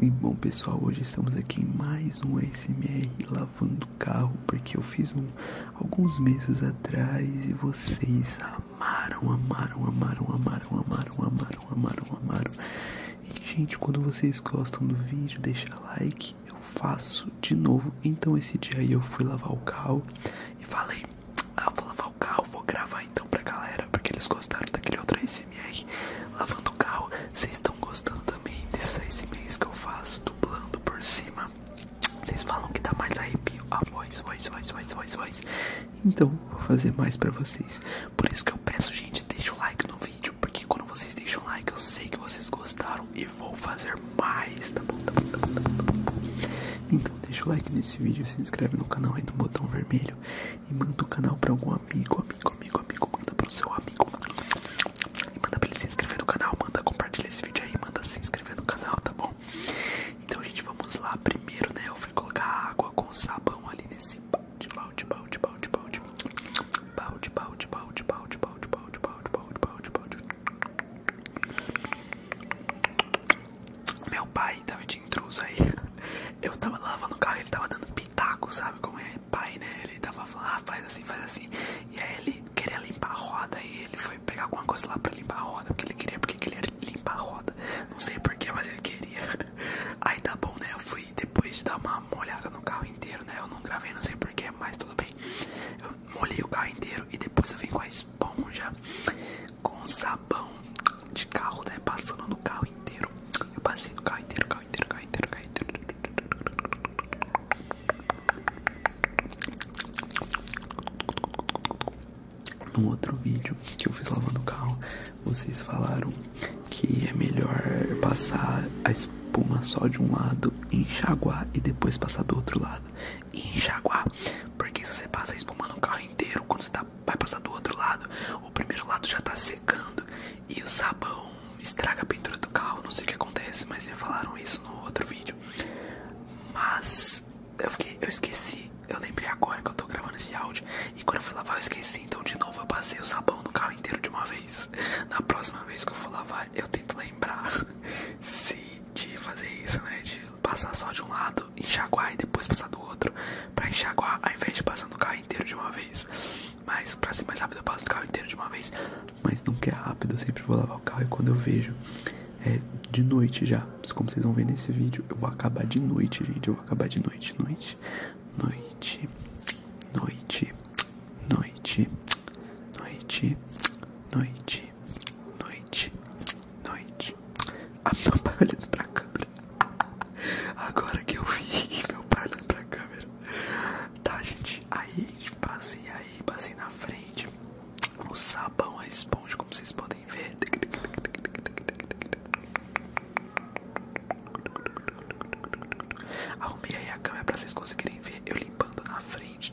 E bom pessoal, hoje estamos aqui em mais um ASMR lavando carro, porque eu fiz um alguns meses atrás e vocês amaram, amaram, amaram, amaram, amaram, amaram, amaram, amaram. E gente, quando vocês gostam do vídeo, deixa like, eu faço de novo. Então esse dia aí eu fui lavar o carro e falei, ah, vou lavar o carro, vou gravar então pra galera, porque eles gostaram daquele outro ASMR lavando o carro. Vocês estão gostando também desses ASMRs que eu faço, dublando por cima. Vocês falam que dá mais arrepio a ah, voz, voz, voz, voz, voz, Então vou fazer mais pra vocês. Por isso que eu peço, gente, deixa o like no vídeo, porque quando vocês deixam o like, eu sei que vocês gostaram e vou fazer mais, tá bom? Tá bom, tá bom, tá bom, tá bom. Então deixa o like nesse vídeo, se inscreve no canal aí do botão vermelho e manda o canal pra algum amigo, amigo, amigo, amigo, manda pro seu amigo e manda pra ele se inscrever no canal, manda compartilhar esse vídeo aí, manda se inscrever no canal, tá bom? Então, gente, vamos lá, primeiro, né, eu fui colocar água com sabão ali nesse balde, balde, balde, balde, balde, balde, balde, balde, balde, balde, balde, meu pai tava de intruso aí. Eu tava lavando o carro, ele tava dando pitaco, sabe como é pai, né? Ele tava falando, ah, faz assim, faz assim. E aí ele queria limpar a roda e ele foi pegar alguma coisa lá pra limpar a roda, porque ele queria, porque ele queria limpar a roda. Não sei porquê, mas ele queria. Aí tá bom, né? Eu fui depois de dar uma molhada no carro inteiro, né? Eu não gravei, não sei porquê, mas tudo bem. Eu molhei o carro inteiro e depois eu vim com a esponja, com sal sabão de carro, né? Passando no carro inteiro. Eu passei no carro inteiro, carro inteiro, carro inteiro, carro inteiro. No outro vídeo que eu fiz lavando o carro, vocês falaram que é melhor passar a espuma só de um lado, enxaguar e depois passar do outro lado e enxaguar, porque se você passa espumando o carro inteiro, quando você tá, vai passar do outro lado, o primeiro lado já tá secando e o sabão estraga a pintura do carro. Não sei o que acontece, mas me falaram isso no outro vídeo. Mas eu, fiquei, eu esqueci, eu lembrei agora que eu tô gravando esse áudio e quando eu fui lavar eu esqueci, então de novo eu passei o sabão no carro inteiro de uma vez. Na próxima vez que eu for lavar, eu tento lembrar de fazer isso, né? De passar só de um lado, enxaguar e depois passar do outro, pra enxaguar ao invés de passar no carro inteiro de uma vez. Mas pra ser mais rápido, eu passo no carro inteiro de uma vez. Mas nunca é rápido, eu sempre vou lavar o carro e quando eu vejo é de noite já. Como vocês vão ver nesse vídeo, eu vou acabar de noite, gente. Eu vou acabar de noite, noite, noite, noite, noite, noite, noite noite, noite, A meu pai tá olhando pra câmera. Agora que eu vi meu pai olhando pra câmera. Tá, gente? Aí passei aí, passei na frente. O sabão, a esponja, como vocês podem ver. Arrumei aí a câmera pra vocês conseguirem ver eu limpando na frente.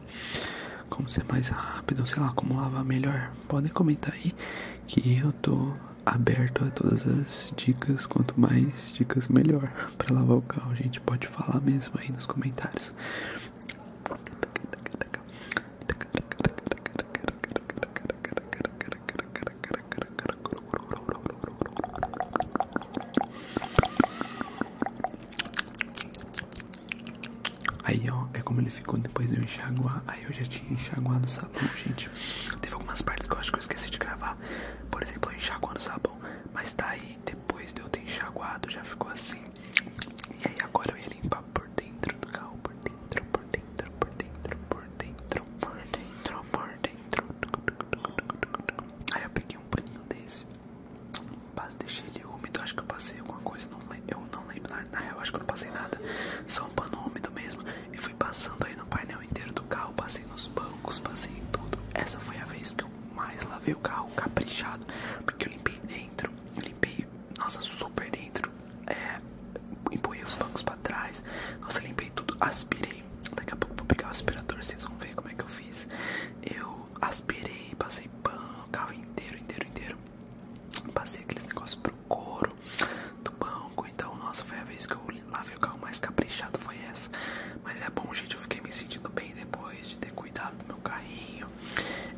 como ser mais rápido, sei lá, como lavar melhor, podem comentar aí que eu tô aberto a todas as dicas, quanto mais dicas melhor para lavar o carro, a gente pode falar mesmo aí nos comentários. Aí ó, é como ele ficou depois de eu enxaguar. Aí eu já tinha enxaguado o sabão, gente. Teve algumas partes que eu acho que eu esqueci de gravar. Por exemplo, eu enxaguando sabão. Mas tá aí, depois de eu ter enxaguado, já ficou assim. E aí agora eu ia limpar por dentro do carro. Por dentro, por dentro, por dentro, por dentro, por dentro, por dentro. Aí eu peguei um paninho desse. Mas deixei ele úmido, acho que eu passei alguma coisa, eu não lembro, na, na real acho que eu não passei nada, só um pano úmido mesmo. E fui passando aí no painel inteiro do carro, passei nos bancos, passei em tudo. Essa foi a vez que eu mais lavei o carro caprichado, porque eu limpei dentro, limpei, nossa, super dentro, é, empurrei os bancos pra trás, nossa, limpei tudo, aspirei. Daqui a pouco vou pegar o aspirador, vocês vão ver como é que eu fiz. Eu aspirei, passei pano, carro inteiro, inteiro, inteiro. Passei aqueles negócios pro couro do banco. Então, nossa, foi a vez que eu lavei o carro mais caprichado. Foi essa. Mas é bom, gente. Eu fiquei me sentindo bem depois de ter cuidado do meu carrinho.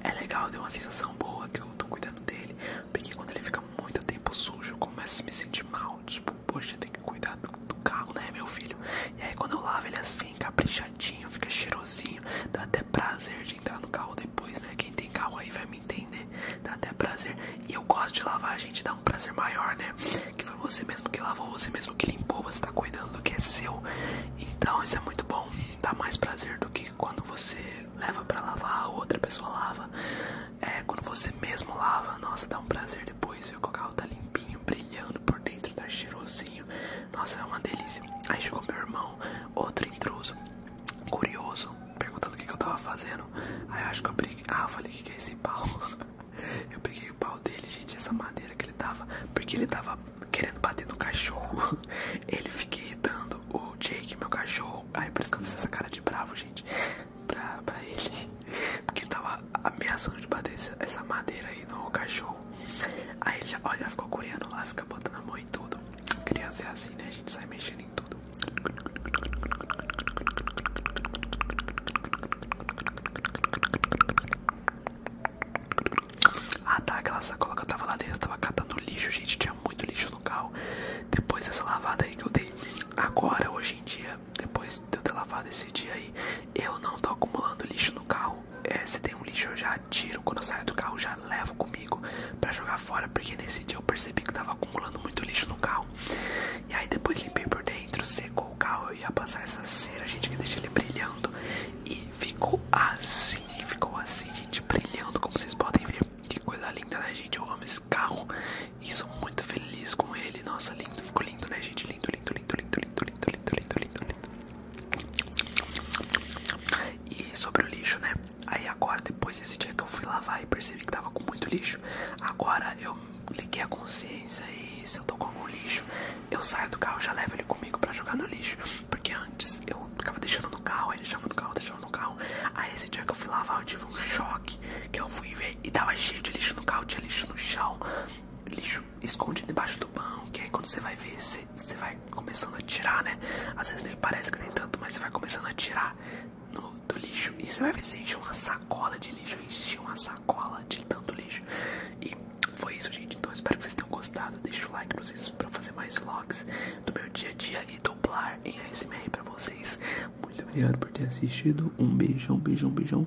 É legal, deu uma sensação boa que eu tô cuidando dele. Porque quando ele fica muito tempo sujo, eu começo a me sentir mal. Tipo, poxa, tem que cuidar do, do carro, né, meu filho? E aí, quando eu lavo ele assim caprichadinho, fica cheirosinho. Dá até prazer de entrar no carro depois, né? Quem tem carro aí vai me entender. Dá até prazer. E eu gosto de lavar, a gente dá um prazer maior, né? Que foi você mesmo que lavou, você mesmo que limpou, você tá cuidando do que é seu. Então isso é muito bom. Dá mais prazer do que quando você leva para lavar, outra pessoa lava. É, quando você mesmo lava, nossa, dá um prazer depois, viu? Que o carro tá limpinho brilhando por dentro, tá cheirosinho. Nossa, é uma delícia. Aí chegou meu irmão, outro intruso, curioso, perguntando o que, eu tava fazendo. Aí eu acho que eu briguei. Ah, eu falei que, que é esse pau. eu peguei o pau dele, gente, essa madeira que ele tava. Porque ele tava querendo bater no cachorro. ele fica irritando o Jake, meu cachorro. Aí por isso que eu fiz essa cara de bravo, gente. Pra, pra ele. Porque ele tava ameaçando de bater essa madeira aí no cachorro. Aí ele já, já ficou coreano lá, fica botando a mão em tudo. Queria ser é assim, né? A gente sai mexendo em tudo. Ah tá, aquela sacola que eu tava lá dentro, tava catando lixo, gente, tinha muito lixo no carro. Depois dessa lavada aí que eu dei agora, hoje em dia, depois de eu ter lavado esse dia aí, eu não tô acumulando lixo no carro. É, se tem um lixo eu já tiro quando eu saio do carro, já levo comigo para jogar fora, porque nesse dia eu percebi que tava acumulando muito lixo no carro. E aí depois limpei por dentro, secou o carro, eu ia passar essa cera, gente, que deixa ele brilhando. E ficou assim, ficou assim, gente, brilhando, como vocês podem ver. Que coisa linda, né, gente? Eu amo esse carro e sou muito feliz com ele. Nossa, lindo, ficou lindo, né, gente? Lindo, lindo, lindo, lindo, lindo, lindo, lindo, lindo, lindo, lindo, E sobre o lixo, né? Aí agora, depois desse dia que eu fui lavar e percebi que tava com muito lixo, agora eu liguei a consciência e se eu tô com algum lixo, eu saio do carro já levo ele comigo pra jogar no lixo. Porque antes eu ficava deixando no carro, aí deixava no carro, deixava no carro. Aí esse dia que eu fui lavar, eu tive um choque que eu fui ver e tava cheio de lixo no carro, tinha lixo no chão, lixo esconde debaixo do banco aí quando você vai ver, você, vai começando a tirar, né? Às vezes nem parece que tem tanto, mas você vai começando a tirar do lixo. E você vai ver, você enche uma sacola de lixo, encheu uma sacola de tanto lixo. E foi isso, gente. Então espero que vocês tenham gostado. Deixa o like pra vocês pra fazer mais vlogs do meu dia a dia e dublar em ASMR pra vocês. Muito obrigado por ter assistido. Um beijão, beijão, beijão.